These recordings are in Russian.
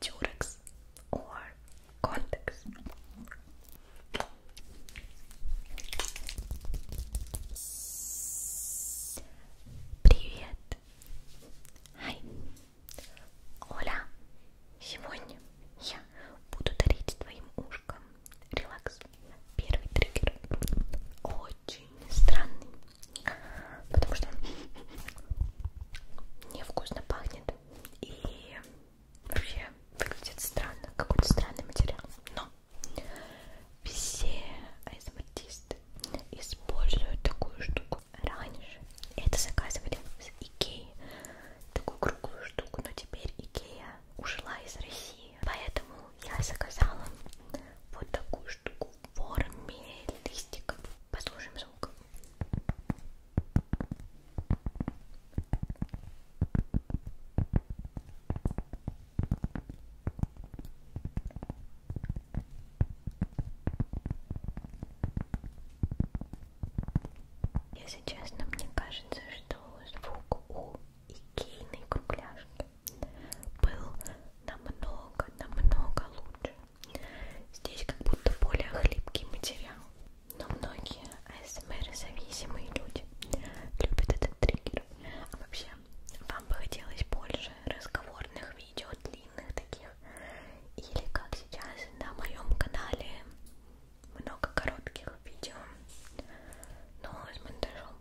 Durex or Contex. Привет. Hi. Оля. Сегодня я буду дарить твоим ушкам релакс. Первый триггер очень странный, потому что он невкусно пахнет и вообще выглядит странно, какой-то странный материал. Но все артисты используют такую штуку. Раньше это заказывали с Икеи, такую круглую штуку, но теперь Икея ушла из России и поэтому я заказала вот такую штуку в форме листиков. Послушаем звук. Если честно, мне кажется, что звук у икейной кругляшки был намного, намного лучше. Здесь как будто более хлипкий материал. Но многие АСМР-зависимые люди любят этот триггер. А вообще, вам бы хотелось больше разговорных видео, длинных таких? Или как сейчас на моем канале много коротких видео, но с монтажом?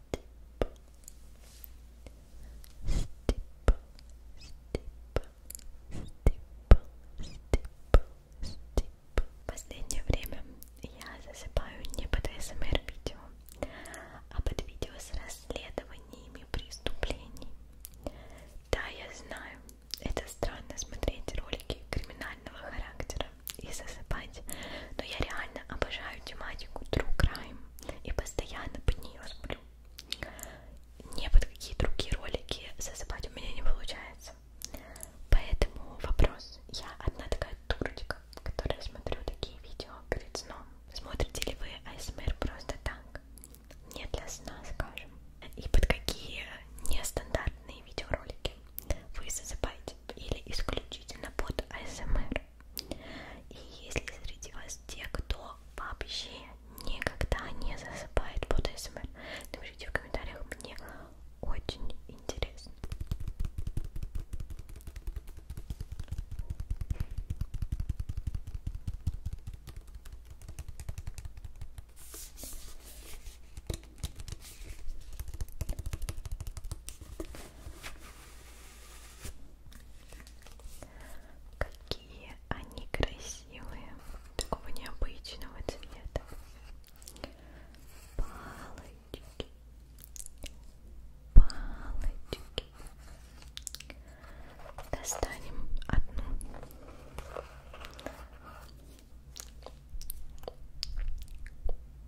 В последнее время я засыпаю не под СМР видео, а под видео с расследованиями преступлений. Да, я знаю, это странно смотреть ролики криминального характера и засыпать, но я реально обожаю тематику True Crime и постоянно под нее сплю. Не под какие другие ролики засыпать у меня не получается. Поэтому вопрос. Я одна такая дурочка, которая смотрю такие видео перед сном. Смотрите ли вы АСМР просто так? Не для сна, скажем. И под какие нестандартные видеоролики вы засыпаете? Или исключительно под АСМР? примеры. И если среди вас те, кто вообще никогда не засыпает под СМР, напишите в комментариях, мне очень интересно. Какие они красивые, такого необычного цвета. Палочки, палочки. Достанем одну.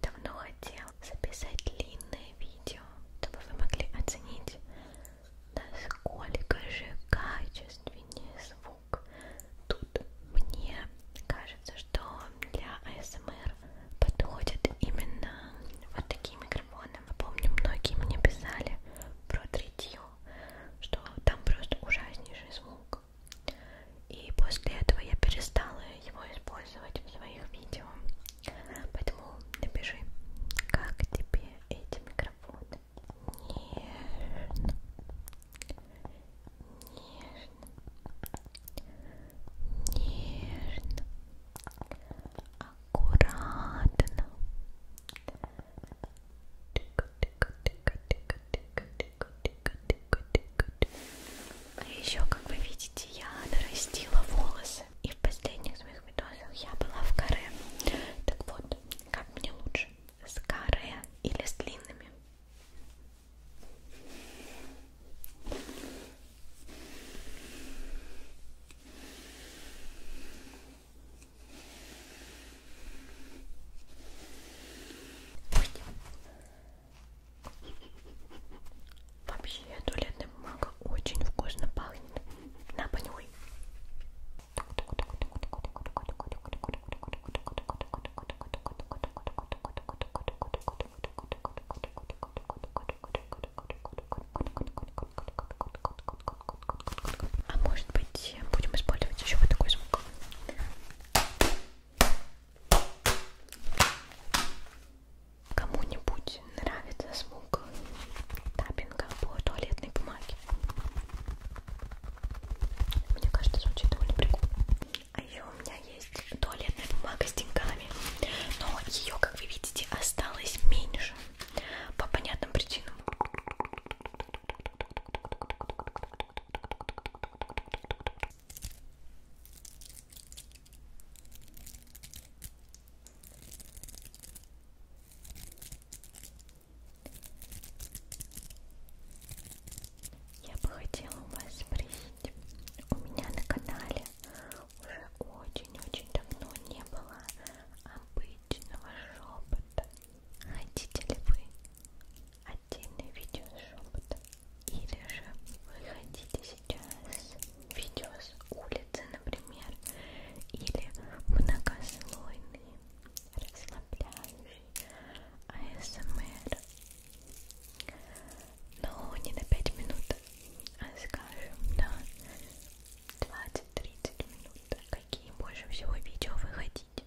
Давно хотел записать длинное видео, чтобы вы могли оценить, насколько же качественнее звук. Тут мне кажется, что для АСМР подходят именно вот такие микрофоны. Помню, многие мне писали про третью что там просто ужаснейший звук. И после этого я перестала его использовать в своих видео. Поэтому напиши, как тебе эти микрофоны. Нежно. Нежно. Нежно. Аккуратно. А Еще, как вы видите, я нарастила волосы. И в последних своих видосах я была в каре. Так вот, как мне лучше? С каре или с длинными? Вообще туалетная бумага очень вкусно пахнет. На понюхай. А может быть, будем использовать еще вот такой звук. Кому-нибудь нравится звук таппинга по туалетной бумаге. Мне кажется, звучит довольно прикольно. А еще у меня есть туалетная бумага с деньгами, но ее, как вы видите, осталось меньше по понятным причинам. Я бы хотела у вас спросить, у меня на канале уже очень-очень давно не было обычной обычного шепота. Хотите ли вы отдельное видео с шепотом? Или же вы хотите сейчас видео с улицы, например, или многослойный, расслабляющий АСМР? Но ну, не на 5 минут, а скажем на 20-30 минут. Какие больше всего видео вы хотите?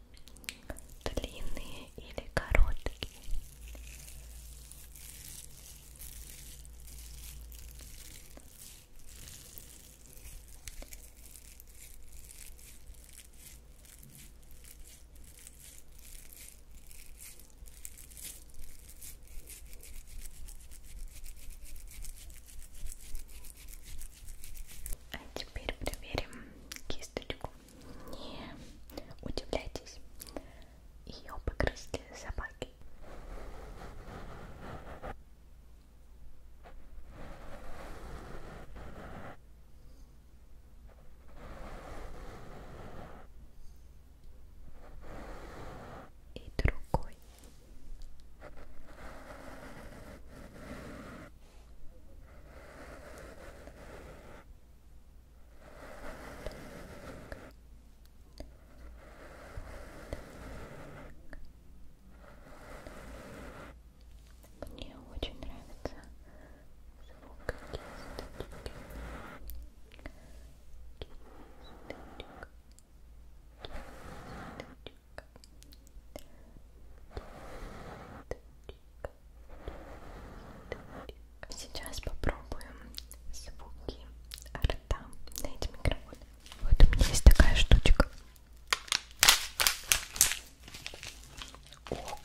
длинные или короткие? А теперь проверим кисточку. Не удивляйтесь, ее погрызли собаки. И другой. Мне очень нравится звук кисточки. Кисточек. Кисточек. Сейчас попробуем звуки рта на эти микрофоны. Вот у меня есть такая штучка. Ого!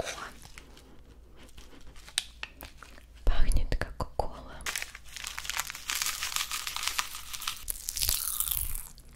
Пахнет как кола.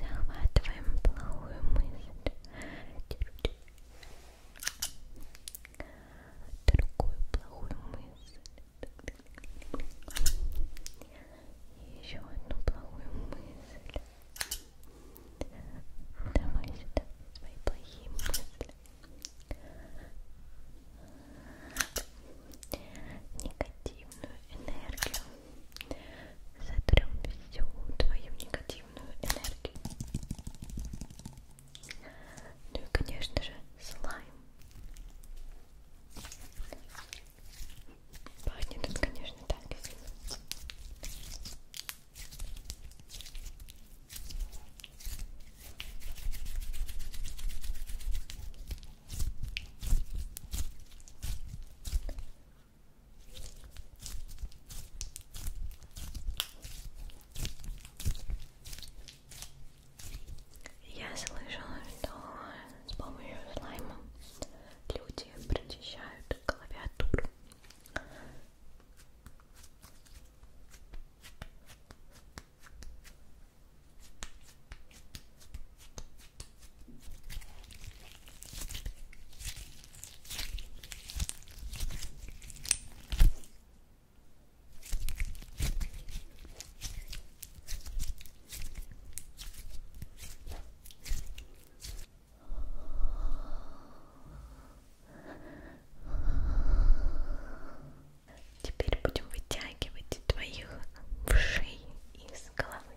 захватываем плохую мысль, другую плохую мысль, и еще одну плохую мысль. Давай сюда свои плохие мысли. Негативную энергию сотрем всю твою негативную энергию. Ну и, конечно же, слайм. Пахнет он, конечно, так извините. Я слышала, что с помощью слайма люди прочищают клавиатуру. Теперь будем вытягивать твоих вшей из головы.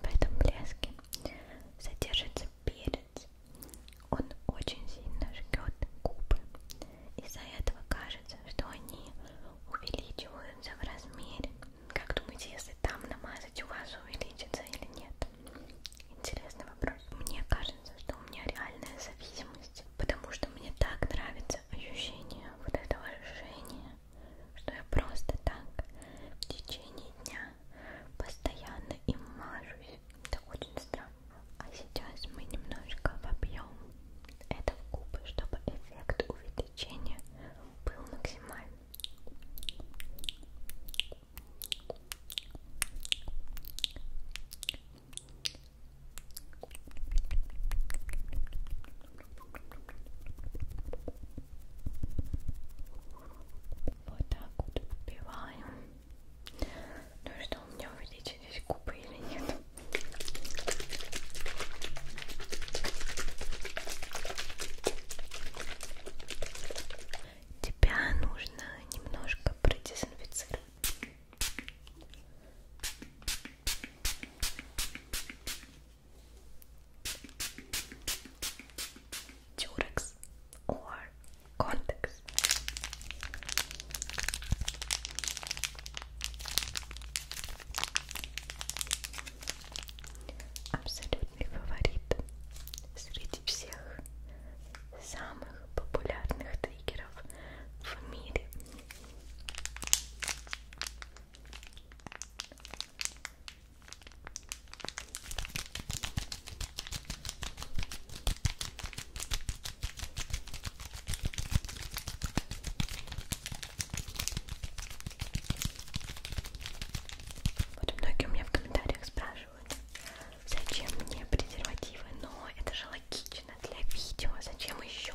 В этом блеске содержится перец. Он очень сильно жгет губы. Из-за этого кажется, что они увеличиваются в размере. Как думаете, если там намазать, у вас увеличится или нет? Интересный вопрос. Мне кажется, что у меня реальная зависимость, потому что мне так нравится появляется ощущение вот этого решения, что я просто так в течение дня постоянно им мажусь. Это очень странно. А сейчас мы немножко вобьем это в губы, чтобы эффект увеличения был максимальный. Вот так вот убиваем. Ну и что, у меня увеличились губы или нет? Тебя нужно немножко продезинфицировать. Durex or Contex. Абсолютный фаворит среди всех самых популярных триггеров в мире вот многие у меня в комментариях спрашивают, зачем мне презервативы, но это же логично для видео, зачем еще?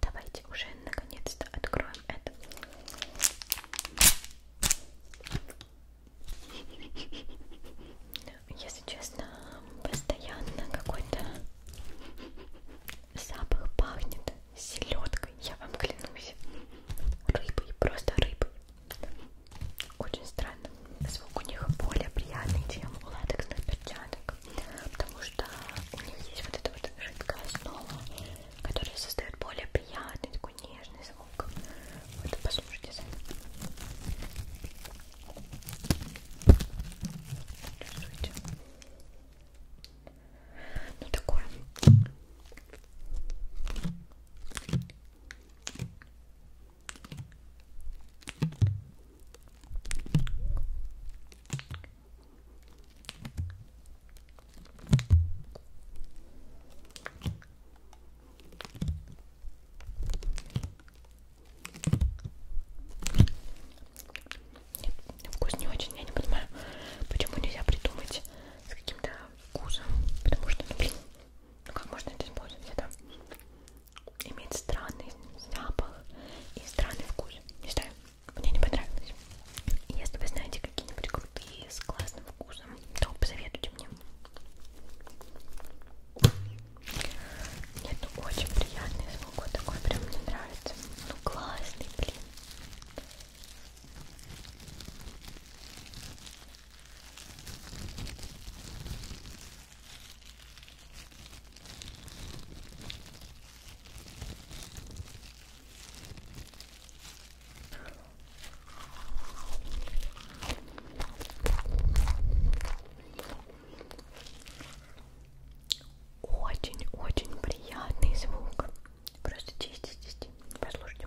Давайте уже наконец-то откроем это. Ну, если честно, постоянно какой-то запах пахнет селедкой, я вам клянусь. Рыбой, просто рыбой. Очень странно. Звук у них более приятный, чем у латексных перчаток потому что у них есть вот эта вот жидкая основа, которая создает более приятный, такой нежный звук. Вот послушайте сами. Рисуйте. Ну такое. Нет, вкус не очень, я не понимаю, почему нельзя придумать с каким-то вкусом, потому что, ну блин, ну как можно это использовать, это имеет странный запах и странный вкус, не знаю, мне не понравилось. Если вы знаете какие-нибудь крутые с классным вкусом, то посоветуйте мне. Нет, ну очень приятный звук. Вот такой прям мне нравится. Ну классный, блин. Очень-очень приятный звук. Просто чистить, чистить. Послушайте.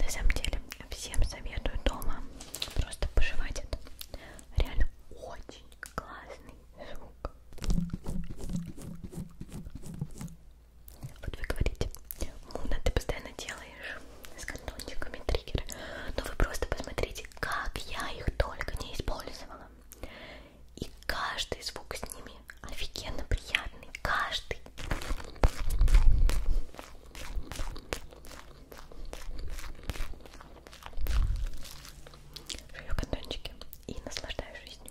На самом деле, всем советую дома просто пожевать это. Реально очень классный звук. Вот вы говорите, Муна, ты постоянно делаешь с картончиками триггеры. Но вы просто посмотрите, как я их только не использовала. И каждый звук с ними офигенно приятный. Каждый. Жую катончики и наслаждаюсь жизнью.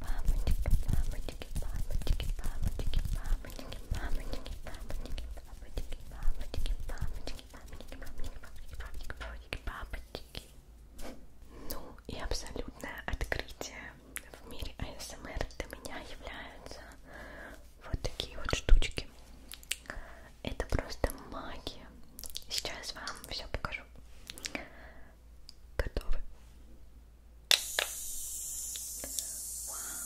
Мамочки, мамочки, мамочки, мамочки, мамочки, мамочки, мамочки, мамочки, мамочки, мамочки, мамочки, мамочки, мамочки, мамочки. Ну и абсолютное открытие в мире АСМР для меня являются вот такие вот штучки. Это просто магия. Сейчас вам все покажу. Готовы? Вау.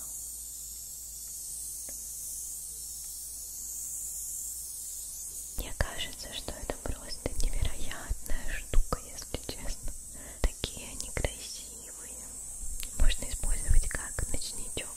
Мне кажется, что это просто невероятная штука, если честно. Такие они красивые. Можно использовать как ночничок,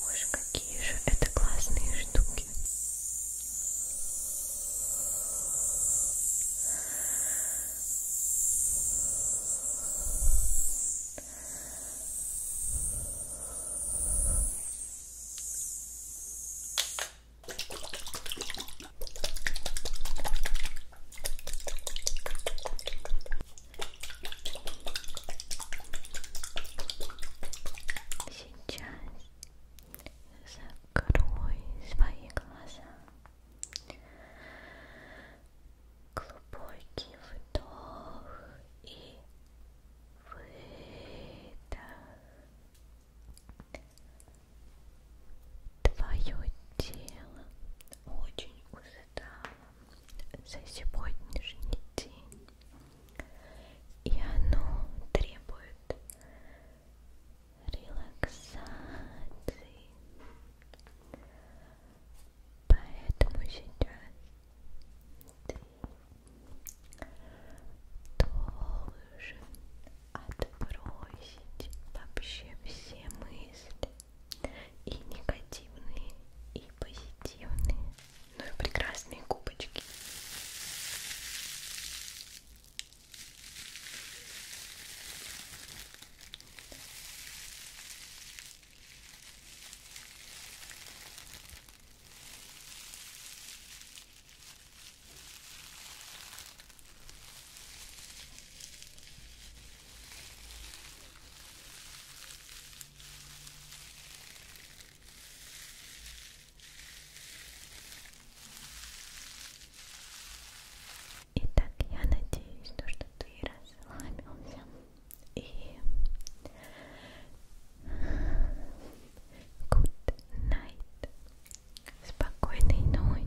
Боже, какие же это классные штуки. Сейчас закрой свои глаза. Глубокий вдох и выдох. Твое тело очень устало за сегодняшний день, и оно требует релаксации. Поэтому сейчас ты должен отбросить вообще все мысли и негативные, и позитивные. Ну и прекрасные губочки. Итак, я надеюсь, то, что ты расслабился и good night, спокойной ночи.